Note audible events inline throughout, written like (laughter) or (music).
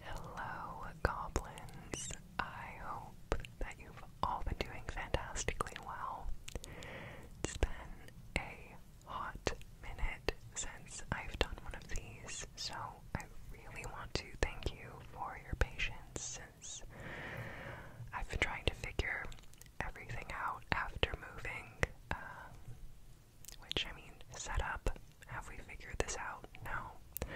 Hello, goblins. I hope that you've all been doing fantastically well. It's been a hot minute since I've done one of these, so I really want to thank you for your patience since I've been trying to figure everything out after moving, uh, which I mean, set up. Have we figured this out? No.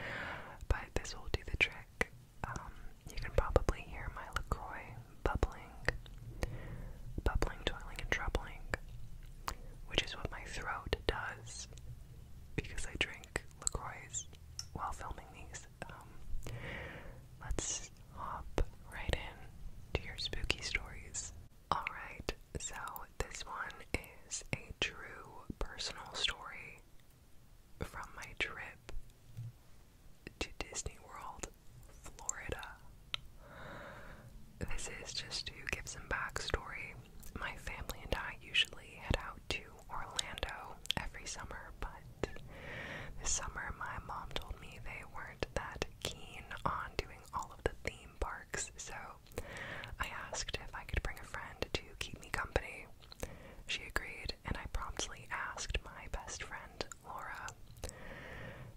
But this will do the trick. Um, you can probably hear my LaCroix bubbling. Bubbling, toiling, and troubling. Which is what my throat does. Because I drink LaCroix while filming these. Um, let's hop right in to your spooky stories. Alright, so this one is a true personal story from my trip to Disney World, Florida. This is just to give some backstory. My family and I usually head out to Orlando every summer, but this summer my mom told me they weren't that keen on doing all of the theme parks, so I asked if I could bring a friend to keep me company. She agreed, and I promptly asked my best friend, Laura.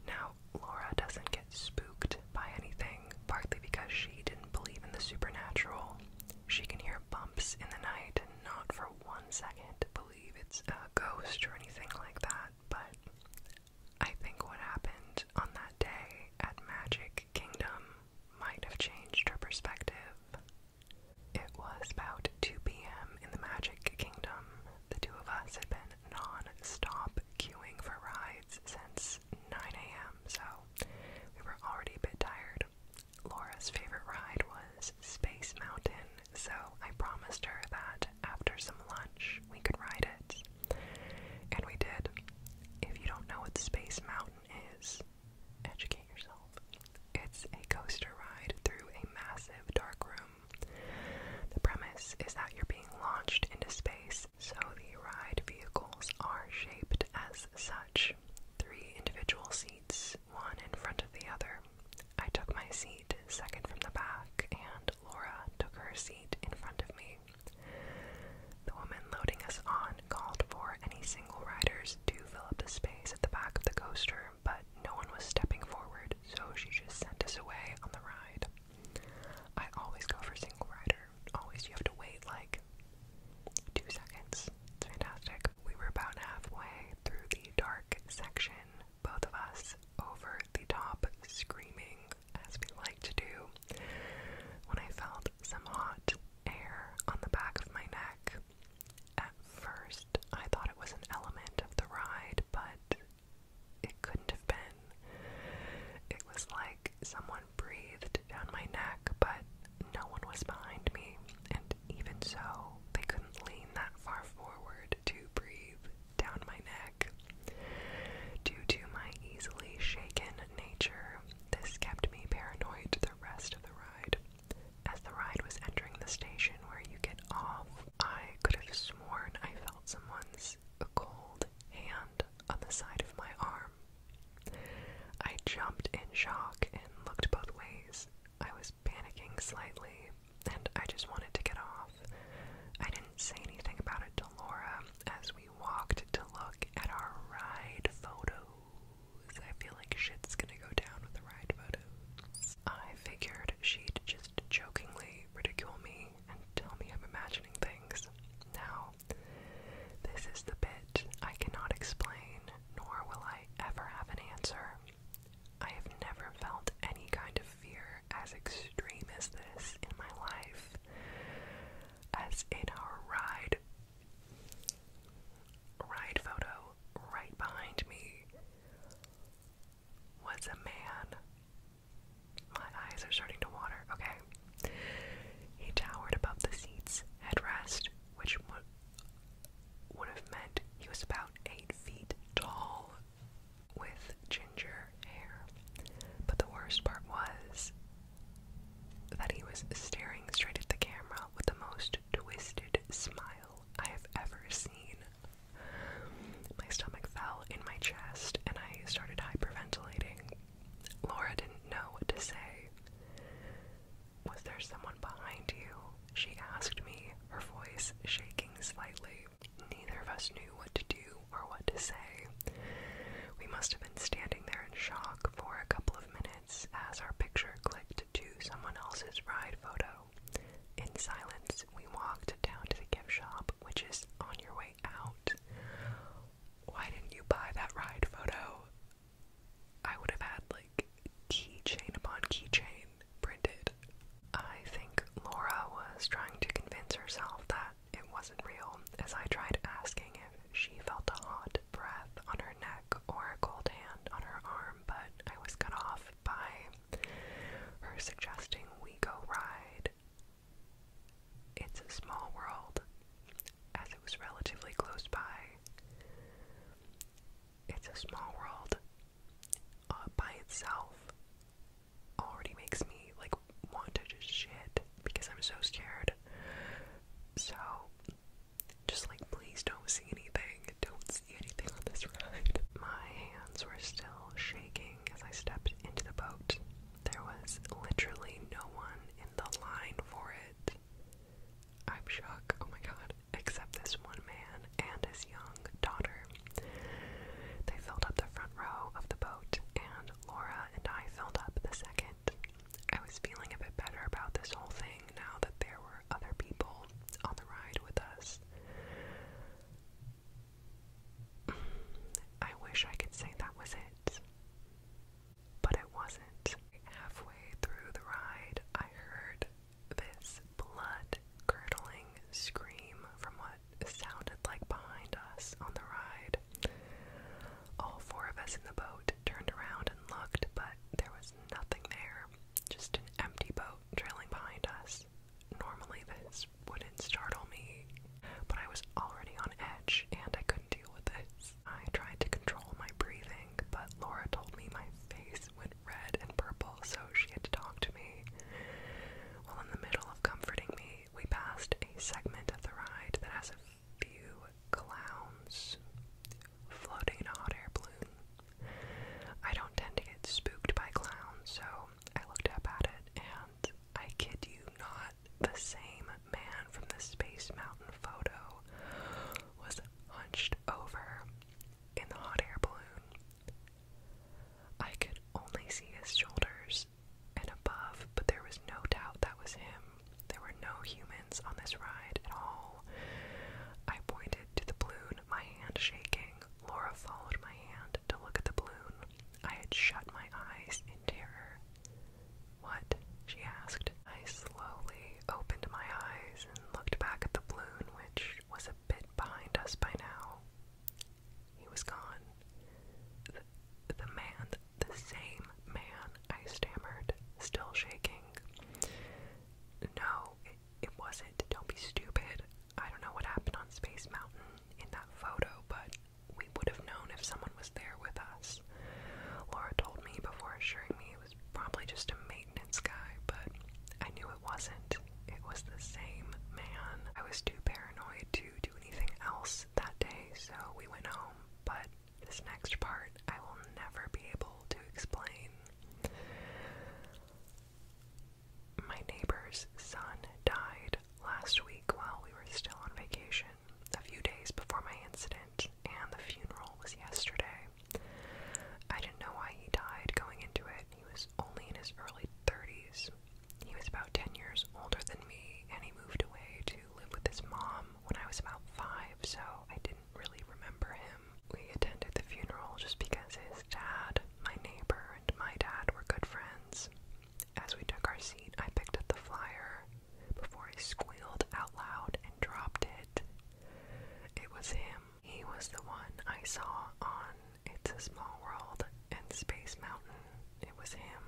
Now, Laura doesn't get spooked by anything, partly because she didn't believe in the supernatural. She can hear bumps in the night and not for one second believe it's a ghost or anything like that, but I think what happened on that day at Magic Kingdom might have changed her perspective. It was about 2 p.m. in the Magic Kingdom. The two of us had been non stop queuing for rides since 9 a.m., so we were already a bit tired. Laura's favorite ride was Space Mountain, so I promised her that after some lunch we could ride it. And we did. If you don't know what Space Mountain is, educate yourself. It's a coaster ride through a massive dark room. The premise is that you're being launched into space, so the ride vehicles are shaped as such three individual seats, one in front of the other. I took my seat second from the back, and Laura took her seat in front of me. The woman loading us on called for any single riders to fill up the space at the back of the coaster, but no one was stepping forward, so she just sent us away on the ride. I always go for single rider. Always you have to wait like two seconds. It's fantastic. We were about halfway through the dark section, both of us over the top screaming walk, as we like to do, when I felt some hot air on the back of my neck. At first, I thought it was an element of the ride, but it couldn't have been. It was like someone breathed down my neck, but no one was behind me, and even so, they couldn't lean that far forward to breathe down my neck. Due to my easily shaken nature, this kept me paranoid the rest of the ride. As the ride was entering the station where you get off, I could have sworn I felt someone's cold hand on the side of my arm. I jumped in shock and looked both ways. I was panicking slightly, and I just wanted to get off. I didn't say anything about it to Laura as we we walked to look at our ride photos. I feel like shit's gonna go down with the ride photos. I figured she'd just jokingly ridicule me and tell me I'm imagining things. Now, this is the bit I cannot explain, nor will I ever have an answer. I have never felt any kind of fear as extreme as this in my life as in our ride ride photo right behind me was a man. My eyes are starting to water. Okay. He towered above the seat's headrest, which would, have meant he was about eight feet tall, with ginger but the worst part was that he was staring straight at the camera with the most twisted smile I have ever seen. My stomach fell in my chest and I started hyperventilating. Laura didn't know what to say. Was there someone behind you? She asked me, her voice shaking slightly. Neither of us knew what to do or what to say. We must have been standing there in shock for a couple of minutes as our picture clicked to someone else's ride photo. In silence, we walked down to the gift shop, which is on your way out. Why didn't you buy that ride photo? I would have had like keychain upon keychain printed. I think Laura was trying to convince herself that it wasn't real, as I tried asking if she felt a hot breath on her neck or a cold hand on her arm, but I was cut off by her suggesting we go ride. It's a small world, as it was relatively close by. It's a small world uh, by itself already makes me like want to just shit because I'm so scared. So just like please don't see anything. Don't see anything on this ride. My hands were still shaking as I stepped into the boat. There was literally no one in the line for it. I'm shook. Oh my god. Except this one man and his young daughter. They filled up the front row of the boat and Laura and I filled up the second. I was feeling a bit better about this whole thing now that there were other people on the ride with us. (sighs) I wish I could say that was it, but it wasn't. Halfway through the ride, I heard this blood curdling scream from what what sounded like behind us on the ride. All four of us in the boat turned around and looked, but there was nothing there. Just an empty boat trailing behind us. Normally, this wouldn't startle me, but I was already on edge and I couldn't deal with this. I tried to control my breathing, but Laura told me my face went red and purple, so she had to talk to me. Well, in the middle of comforting me, we passed a segment of the ride that has a few clowns floating in a hot air balloon. I don't tend to get spooked by clowns, so I looked up at it and I kid you not, the same man from the Space Mountain photo was hunched over in the hot air balloon. I could only see his shoulders and above, but there was no doubt that was him. There were no humans on this ride at all. I pointed to the balloon, my hand shaking. Laura followed my hand to look at the balloon. I had shut my eyes in terror. What? she asked. I slowly opened my eyes and looked back at the balloon, which was a bit behind us by now. He was gone. The, man, the, same man, I stammered, still shaking. No, it wasn't. Don't be stupid. I don't know what happened on Space Mountain in that photo, but we would have known if someone was there with us. Laura told me before assuring me it was probably just a maintenance guy, but I knew it wasn't. It was the same man. I was too paranoid to do anything else that day, so we went home. But this next part, I will never be able to explain. My neighbor's son died last week while we were still on vacation, a few days before my incident, and the funeral was yesterday. I didn't know why he died going into it. He was only in his early 30s. He was about 10 years older than me, and he moved away to live with his mom when I was about five, so I didn't really remember him. We attended the funeral just because his dad, my neighbor, and my dad were good friends. As we took our seat, I picked up the flyer before I squealed out loud and dropped it. It was him. He was the one I saw on It's a Small World and Space Mountain. It was him.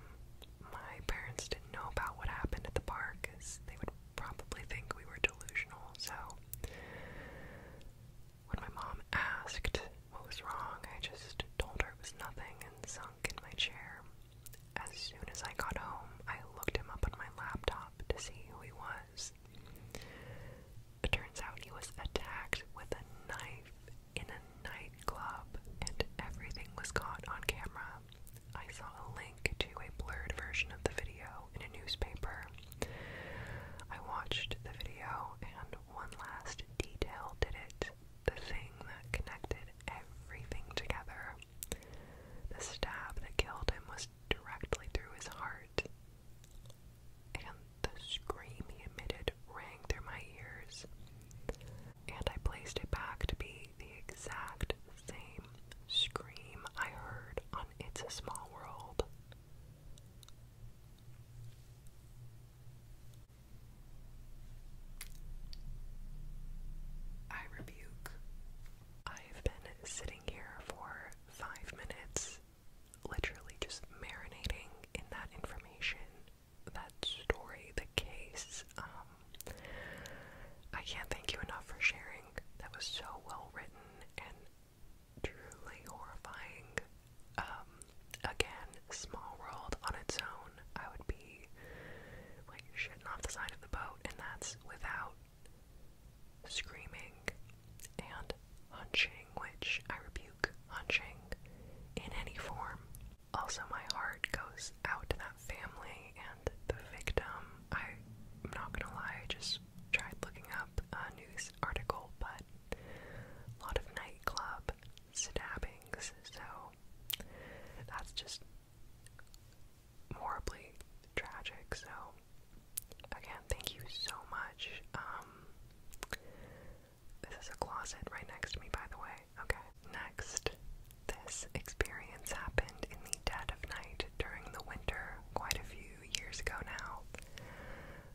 My parents didn't know about what happened at the park because they would probably think we were delusional. So when my mom asked what was wrong, I just told her it was nothing and sunk in my chair. As soon as I got home, I looked him up on my laptop to see who he was. It turns out he was attacked with a knife in a nightclub, and everything was caught on camera. I saw a link to a blurred version of the video in a newspaper. I watched the video, and one last detail did it the thing that connected everything together. The stab that killed him was directly through his heart, and the scream he emitted rang through my ears. And I placed it back to be the exact same scream I heard on It's a Small World. I rebuke. I've been sitting here for five minutes, literally just marinating in that information, that story, the case. Um, I can't thank you enough for sharing. That was so well written and truly horrifying. Um, again, small world on its own. I would be like shitting off the side of the boat, and that's without screaming and hunching, which I rebuke rebuke in any form. Also, my heart goes out to that family and the victim. I'm not gonna lie, I just tried looking up a news article, but a lot of nightclub stabbings, so that's just horribly tragic. So, again, thank you so much. Um, this is a closet right next to me, by the way. Okay. Next, this experience happened in the dead of night during the winter quite a few years ago now.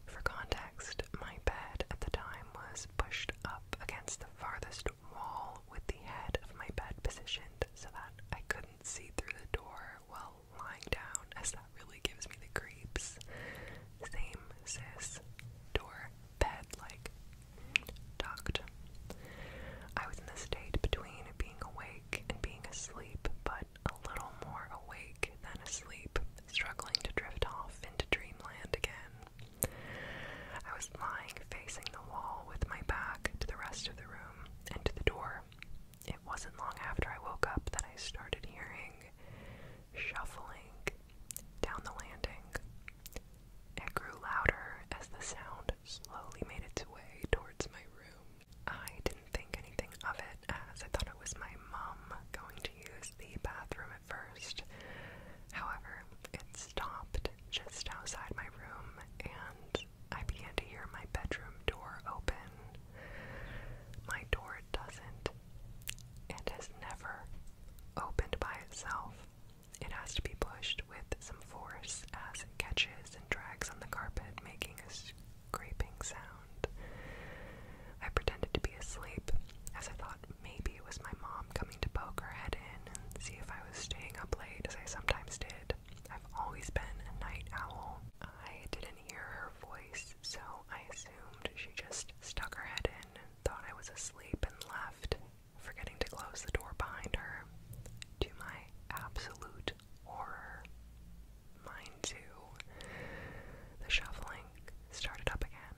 For context, my bed at the time was pushed up against the farthest wall with the head of my bed positioned so that I couldn't see through the door while lying down, as that really gives me the creeps. Same, sis. Door bed, like tucked. I was in the state between being awake and being asleep, but a little more awake than asleep, struggling to drift off into dreamland again. I was lying facing the wall with my back to the rest of the room and to the door. It wasn't long after I woke up that I started hearing shuffling down the landing. It grew louder as the sound slowly made its way towards my room. I didn't think anything of it as I thought it was my mom going to use the bathroom at first. However, it stopped just outside my room and I began to hear my bedroom door open. My door doesn't it has never opened by itself. It has to be pushed with some force as it catches and drags on the carpet, making a scraping sound. I pretended to be asleep as I thought maybe it was my mom coming to poke her head in and see if I was staying up late, as I sometimes did. I've always been a night owl. I didn't hear her voice, so I assumed she just stuck her head in thought I was asleep and left, forgetting to close the door behind her. To my absolute horror. Mine too. The shuffling started up again,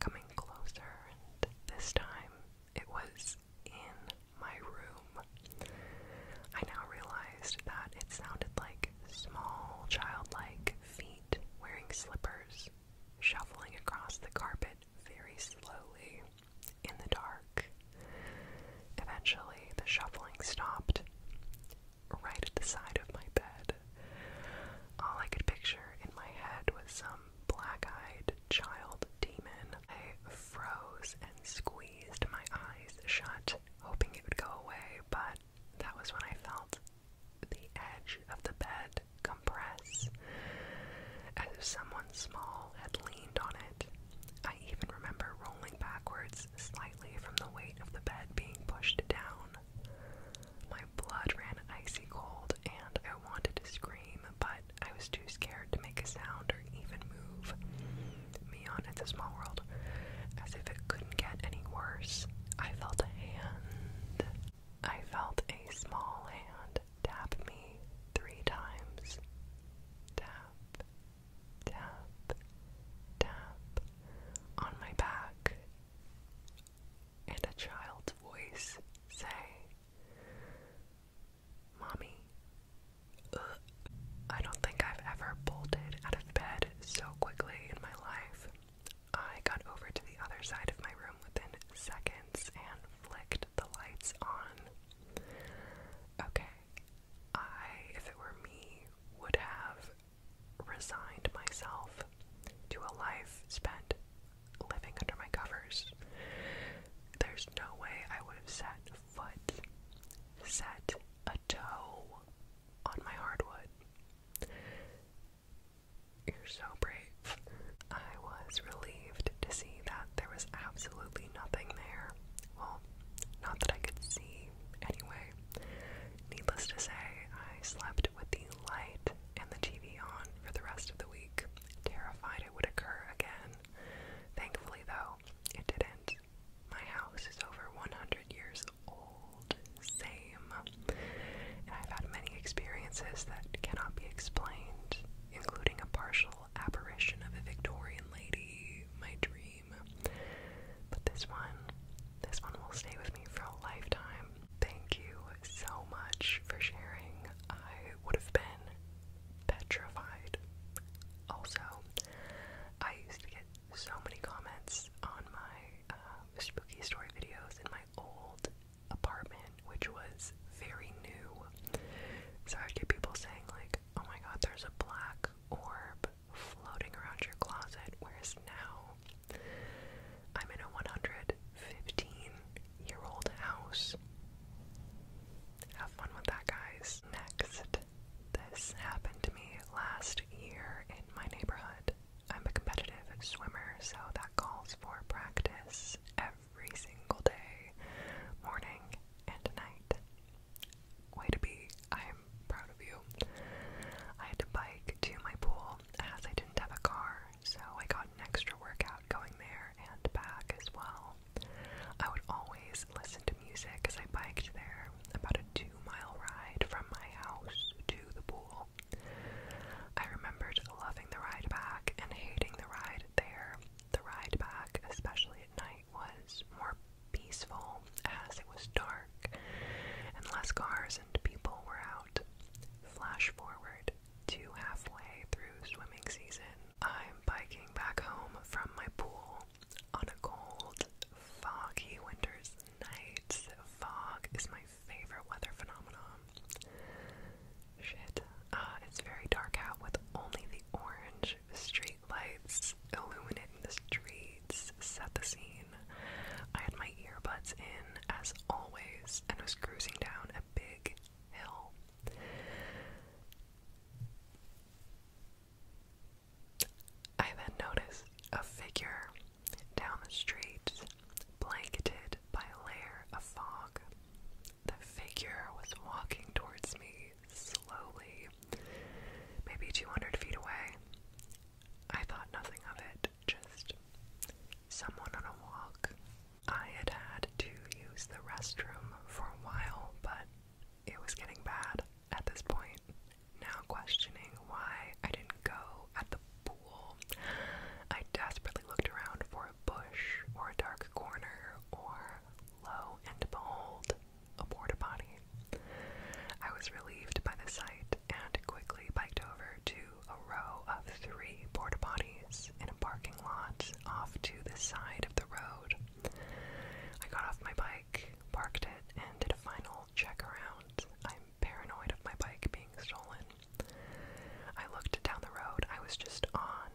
coming closer, and this time it was in my room. I now realized that it sounded like small, childlike feet wearing slippers shuffling across the carpet very slowly in the dark. Eventually, the shuffling stopped right at the side of my bed. All I could picture in my head was some black eyed child demon. I froze and squeezed my eyes shut, hoping it would go away, but that was when I felt the edge of the bed compress, as if someone small had leaned on it. I even remember rolling backwards slightly from the weight of the bed being pushed down. My blood ran icy cold, and I wanted to scream, but I was too scared to make a sound or even move. Me on, it's a small world, as if it couldn't get any worse. I felt a hand. I felt a small hand tap me three times. Tap, tap, tap on my back. And a child's voice say, Mommy. Uh, I don't think I've ever bolted out of bed so quickly in my life. I got over to the other side of my room within seconds and flicked the lights on. Okay, I, if it were me, would have resigned myself to a life spent living under my covers. There's no way I would have set foot, set a toe on my hardwood. You're so brave. I was relieved to see that there was absolutely nothing there. Well, not that I could see, anyway. Needless to say, I slept with the light and the TV on for the rest of the week, terrified it would occur again. Thankfully, though, it didn't. My house is over 100 years old same. I've had many experiences that cannot be explained, including a partial apparition of a Victorian lady, my dream. But this one, this one will stay with me for a lifetime. Thank you so much for sharing. I would have been petrified. Also, I used to get so many comments on my Mr. Uh, spooky story videos in my old apartment, which was very new. So I'd get people saying, like, oh my god, there's a black orb floating around your closet, whereas now I'm in a 115 year old house. Have fun with that, guys. Next, this happened to me last year in my neighborhood. I'm a competitive swimmer, so that calls for practice every single day, morning and night. Way to be. I am proud of you. I had to bike to my pool as I didn't have a car, so I got an extra workout going there and back as well. I would always listen to music as I biked there, about a a two mile ride from my house to the pool. I remembered loving the ride back and hating the ride there. The ride back, especially at night, was more peaceful as it was dark and less cars and people were out. Flash forward to halfway through swimming season. I'm biking back home from my pool on a cold, foggy winter's nights. Fog is my favorite weather phenomenon. Shit. Uh, it's very dark out with only the orange street lights illuminating the streets. Set the scene. I had my earbuds in, as always, and was cruising down a big hill. I then noticed a figure down the street, blanketed by a layer of fog. The figure was walking towards me slowly, maybe 200 feet away. I thought nothing of it, just someone on a walk. I had had to use the restroom for a while, but it was getting bad at this point now questioning why I didn't go at the pool. I desperately looked around for a bush or a dark corner or lo and behold, a porta potty. I was relieved by the sight and quickly biked over to a row of three porta potties in a parking lot off to the side of the road. I got off my bike, parked it, and did a final check around. I'm paranoid of my bike being stolen. I looked down the road I was just on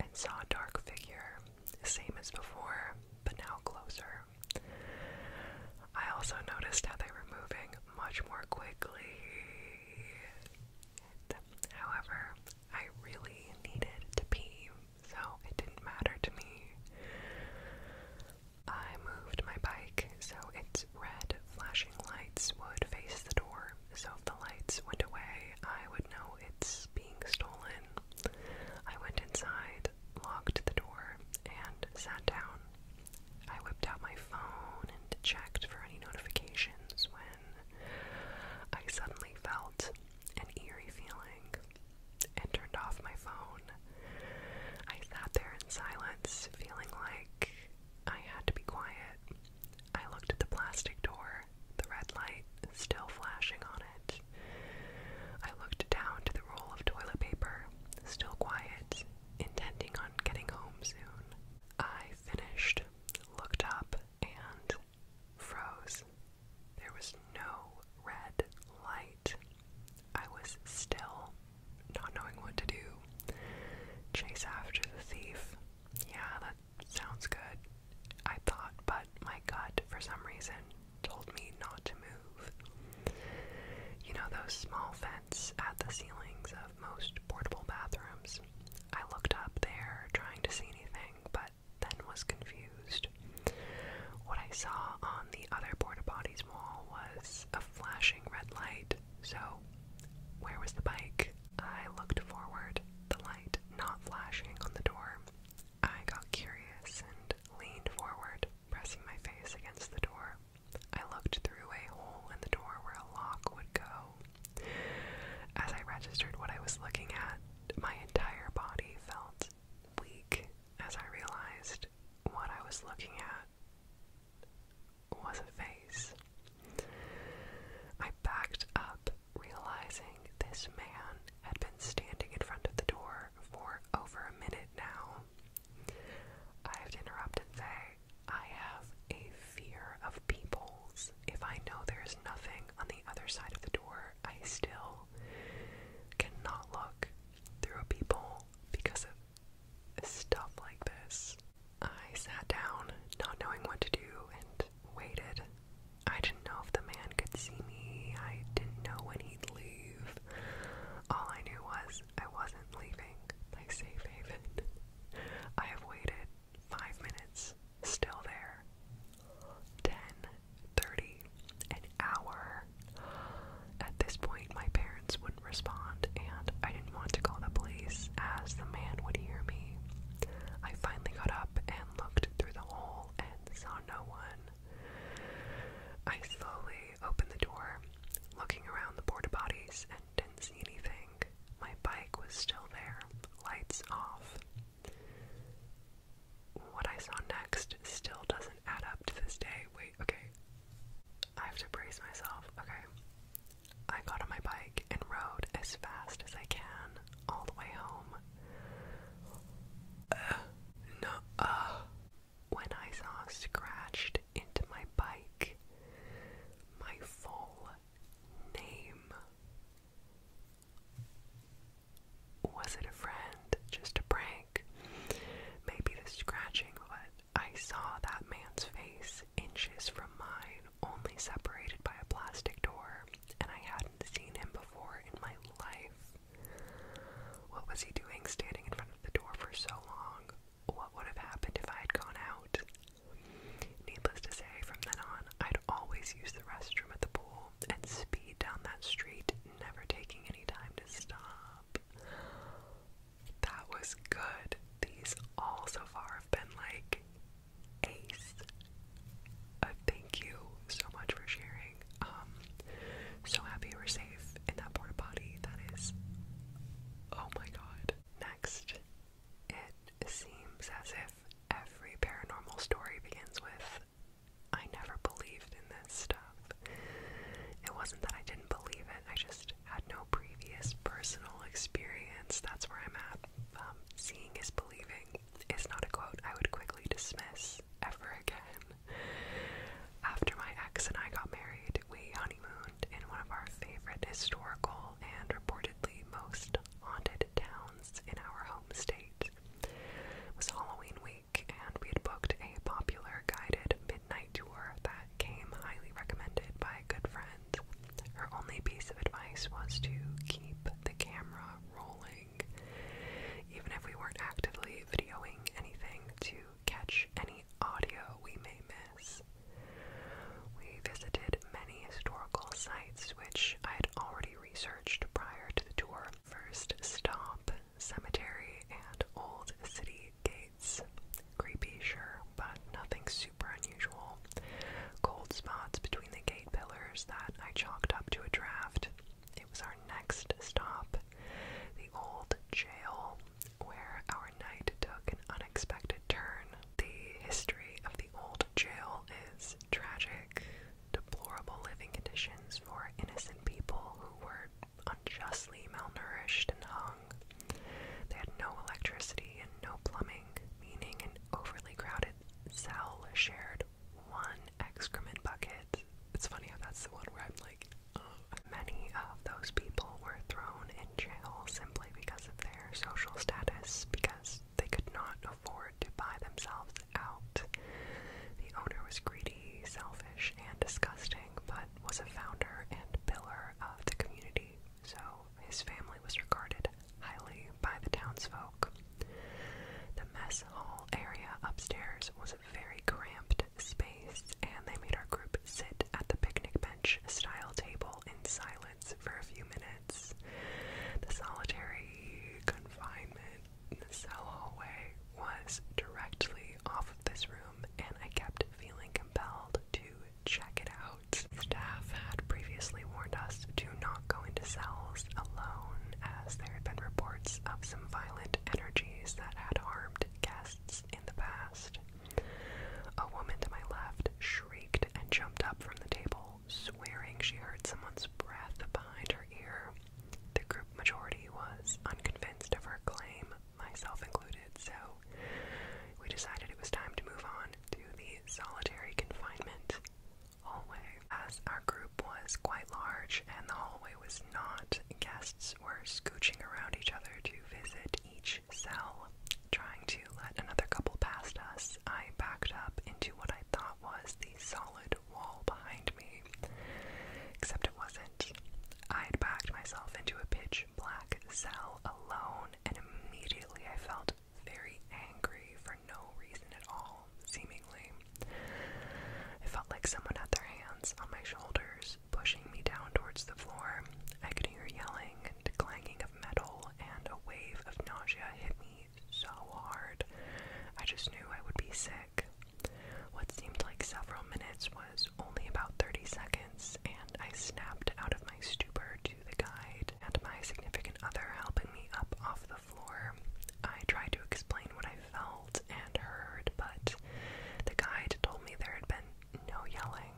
and saw a dark figure, same as before, but now closer. I also noticed how they were moving much more quickly. However, I really needed to pee, so it didn't matter to me. I moved my bike so its red flashing lights would face the door, so if the lights went away, I would know it's being stolen. I went inside, locked the door, and sat down. I whipped out my phone and checked for any notifications when I suddenly felt an eerie feeling and turned off my phone. I sat there in silence, feeling like I had to be quiet. I looked at the plastic door, the red light still flashing on it. I looked down to the roll of toilet paper, still quiet, intending on getting home soon. I finished, looked up, and froze. There was no red light. I was still not knowing what to do. Chase after the thief. Yeah, that sounds good, I thought, but my gut, for some reason, told me not to move. You know those small vents at the ceilings of most portable bathrooms? I looked up there trying to see anything, but then was confused. What I saw on the other porta potties wall was a flashing red light, so where was the bike? I looked forward, the light not flashing on the door. I got curious and leaned forward, pressing my face against the door. I looked through a hole in the door where a lock would go. As I registered what I was looking at, my entire body felt weak as I realized what I was looking at was a face. I backed up, realizing this man had been standing in front of the door for over a minute now. I have to interrupt and say, I have a fear of peoples. If I know there's nothing on the other side of the door, I still cannot look through a peephole because of stuff like this. I sat down, not knowing what to do, and waited. I didn't know if the man could see me, I didn't know when he'd leave. All I knew was I wasn't leaving my safe haven. I have waited five minutes, still there. Ten thirty an hour. At this point, my parents wouldn't respond, and I didn't want to call the police as the man would hear me. I finally got up and looked through the hole and saw no one. I slowly opened the door, looking around the porta bodies and didn't see anything. My bike was still there, lights off. What I saw next still does add up to this day. Wait, okay. I have to brace myself. Okay. I got on my bike and rode as fast as I can all the way home. Uh, no, uh. When I saw scratched into my bike my full name. Was it a friend? Just a prank? think maybe the scratching, but I saw that man's face inches from mine, only separated by a plastic door, and I hadn't seen him before in my life. What was he doing standing in front of the door for so long? What would have happened if I had gone out? Needless to say, from then on, I'd always use the restroom at the pool and speed down that street, never taking any time to stop. That was good. These all so far have been like ace. Uh, thank you so much for sharing. Um, so happy we're safe in that porta potty. That is, oh my god. Next, it seems as if every paranormal story begins with I never believed in this stuff. It wasn't that I didn't believe it, I just had no previous personal experience. That's where I'm at. Um, seeing is believing is not a quote I would quickly dismiss ever again. After my ex and I got married, we honeymooned in one of our favorite historical and reportedly most haunted towns in our home state. It was Halloween week and we had booked a popular guided midnight tour that came highly recommended by a good friend. Her only piece of advice was to keep the camera rolling, even if we weren't actively videoing anything, to catch any audio we may miss. We visited many historical sites which I had already researched prior to the tour. First stop Cemetery and Old City Gates. Creepy, sure, but nothing super unusual. Cold spots between the gate pillars that I chalked up to a draft. It was our next stop, the old jail, where our night took an unexpected turn. The history of the old jail is tragic, deplorable living conditions for innocent people who were unjustly malnourished and hung. They had no electricity and no plumbing, meaning an overly crowded cell shared one excrement bucket. It's funny how that's the one where I'm like, oh. Many of those people were thrown in jail simply because of their social status, because they could not afford to buy themselves out. The owner was greedy, selfish, and disgusting, but was a founder and pillar of the community, so his family was regarded highly by the townsfolk. The mess hall area upstairs was a very cramped space, and they made our group sit at the picnic bench style table in silence for a few minutes. The solitary confinement the cell hallway was directly off of this room, and I kept feeling compelled to check it out. Staff had previously warned us to not go into cells alone, as there had been reports of some violent energies that had harmed guests in the past. A woman to my left shrieked and jumped up from the table, swearing she heard someone's breath behind her ear. The group majority was unconvinced of her claim, myself included, so we decided it was time to move on to the solitary confinement hallway. As our group was quite large and the hallway was not, guests were scooching around each other to visit each cell. Trying to let another couple past us, I backed up into what I thought was the solid wall behind me. Except it wasn't. I had backed myself into a pitch black cell alone, and immediately I felt very angry for no reason at all, seemingly. I felt like someone had their hands on my shoulders, pushing me down towards the floor. I could hear yelling and clanging of metal, and a wave of nausea hit me so hard. I just knew I would be sick. What seemed like several minutes was only about 30 seconds, and I snapped out of my stupor to the guide and my significant other helping me up off the floor. I tried to explain what I felt and heard, but the guide told me there had been no yelling,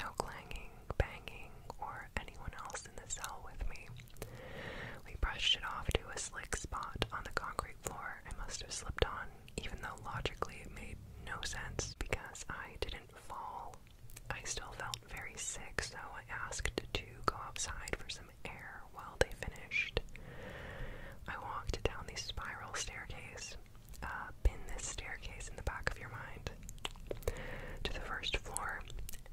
no clanging, banging, or anyone else in the cell with me. We brushed it off to a slick spot on the concrete floor I must have slipped on, even though logically it made no sense because I didn't fall. I still felt very sick, so I asked to go outside for some air while they finished. I walked down the spiral staircase. Uh, pin this staircase in the back of your mind. To the first floor,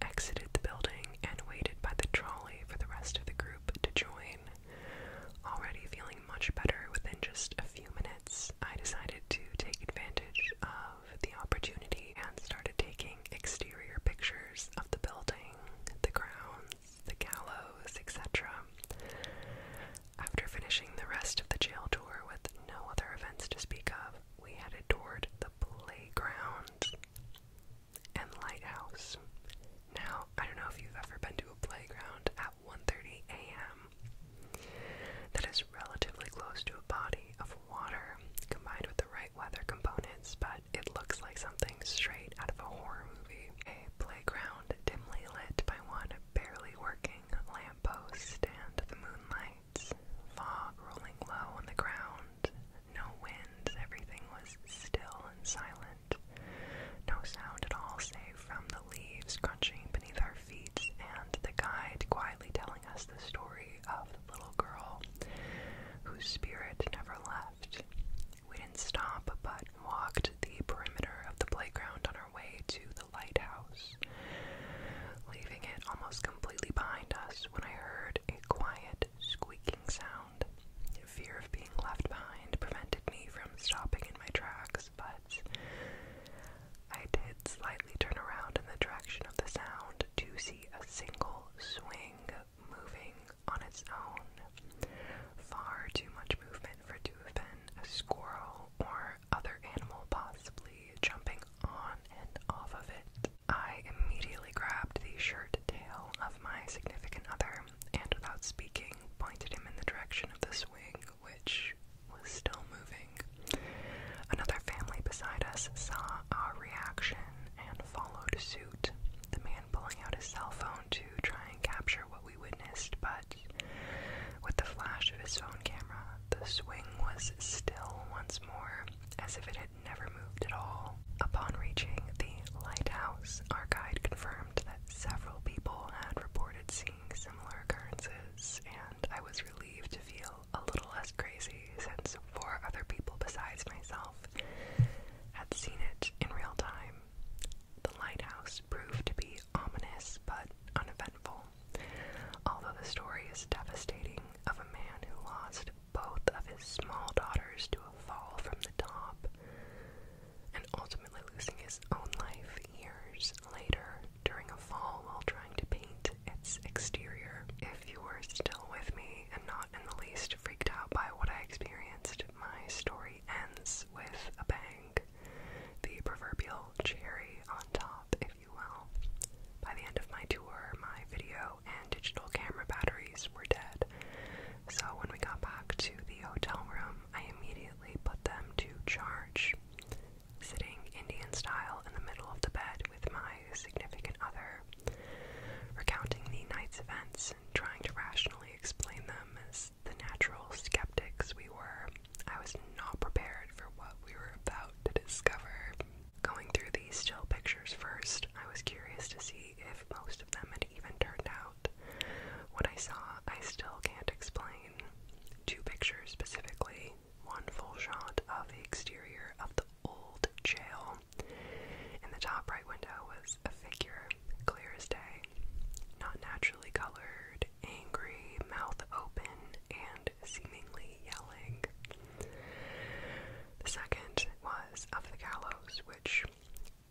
exited the building, and waited by the trolley for the rest of the group group to join. Already feeling much better within just a few minutes, I decided to take advantage of the opportunity and started taking exterior pictures of the building, the grounds, the gallows, etc. After finishing the rest of the jail tour with no other events to speak of, we headed toward the playground and Lighthouse. Now, I don't know if you've ever been to a playground at 1:30 a.m. That is relatively close to a body of water combined with the right weather components, but it looks like something straight out of a horror movie. A playground dimly lit by one barely working lamppost and the moonlight, fog rolling low on the ground, no wind. everything was still and silent. No sound at all save from the leaves crunching beneath our feet and the guide quietly telling us the story of the little girl whose spirit never left. We didn't stop but walked the perimeter of the playground on our way to the lighthouse, leaving it almost completely behind us when I heard a quiet squeaking sound. Fear of being left behind prevented me from stopping in my tracks, but I did slightly turn around in the direction of the sound to see a single swing moving on its own. Far too much movement for it to have been a squirrel or other animal possibly jumping on and off of it. I immediately grabbed the shirt tail of my significant other and, without speaking, pointed him in the direction of the swing, which was still moving. Another family beside us saw our reaction and followed suit, the man pulling out his cell phone to try and capture what we witnessed, but with the flash of his phone camera, the swing was still once more, as if it had never moved at all. Upon reaching the lighthouse, our guide confirmed that several people had reported seeing similar occurrences, and I was relieved to feel a little less crazy since four other people besides myself had seen it in real time. The lighthouse proved to be ominous but uneventful, although the story is devastating of a man who lost both of his small daughters to a fall from the top and ultimately losing his own life years later during a fall while trying to paint its exterior. If you were still with me and not in the least freaked out by what I experienced, my story ends with a bang. The proverbial cherry on top, if you will. By the end of my tour, my video and digital camera batteries were dead. So when we got back to the hotel room, I immediately put them to charge, sitting Indian style in the middle of the bed with my significant other, recounting the night's events and trying to rationally explain them as the natural skeptics we were. I was not prepared for what we were about to discover. Going through these still pictures first, I was curious to see if most of them had even turned out. What I saw, I still can't explain. Two pictures specifically, one full shot of the exterior of the old jail. In the top right window was a figure, clear as day, not naturally colored, angry, mouth open, and seemingly yelling. The second was of the gallows, which,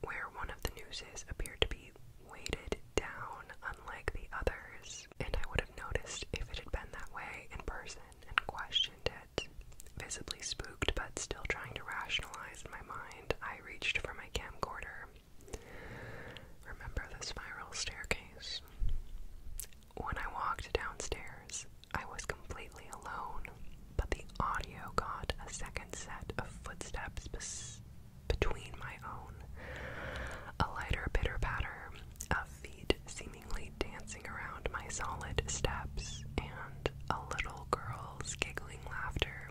where one of the nooses appeared to be weighted down unlike the others, and I would have noticed if it had been that way in person and questioned it. Visibly spooked, but still trying to rationalize in my mind, I reached for my camcorder. Remember the spiral staircase? When I walked downstairs, I was completely alone, but the audio got a second set of footsteps between my own. A lighter pitter patter of feet seemingly dancing around my solid steps, and a little girl's giggling laughter.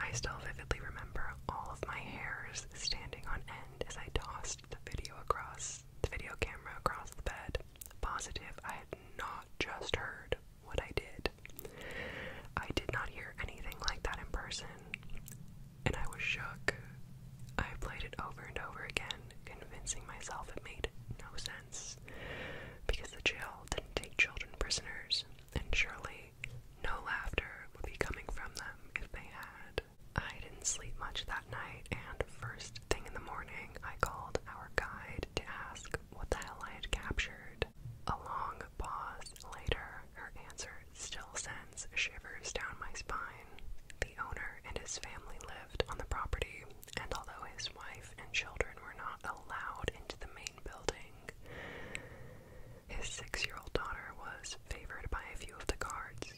I still vividly remember all of my hairs standing on end as I tossed the video across the video camera across the bed. Positive, I had not just heard what I did. I did not hear anything like that in person, and I was shook. I played it over and over again, convincing myself it made no sense because the jail didn't take children prisoners, and surely no laughter would be coming from them if they had. I didn't sleep much that night, and episode, first thing in the morning, I called our guide to ask what the hell I had captured. A long pause later, her answer still sends shivers down my spine. The owner and his family lived on the property, and although his wife and children were not allowed into the main building, his six year old daughter was favored by a few of the guards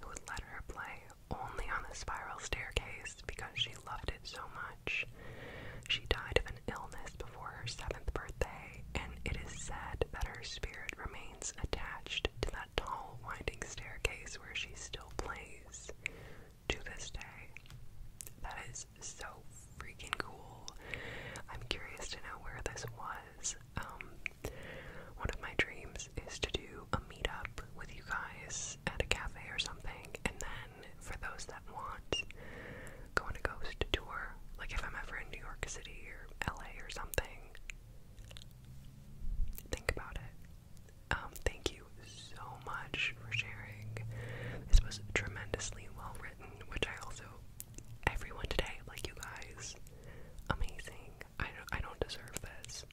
who would let her play only on the spiral staircase because she loved it so much. She died of an illness before her seventh birthday, and it is said that her spirit remains attached to that tall, winding staircase where she still plays to this day. That is so freaking cool. I'm curious to know where this was. Um, one of my dreams is to do a meetup with you guys at a cafe or something, and then for those that want, go on a ghost tour. Like if I'm ever in New York City or LA or something, think about it. Um, thank you so much for sharing. This was tremendously well written, which I also everyone today, like you guys, amazing. I I don't deserve this.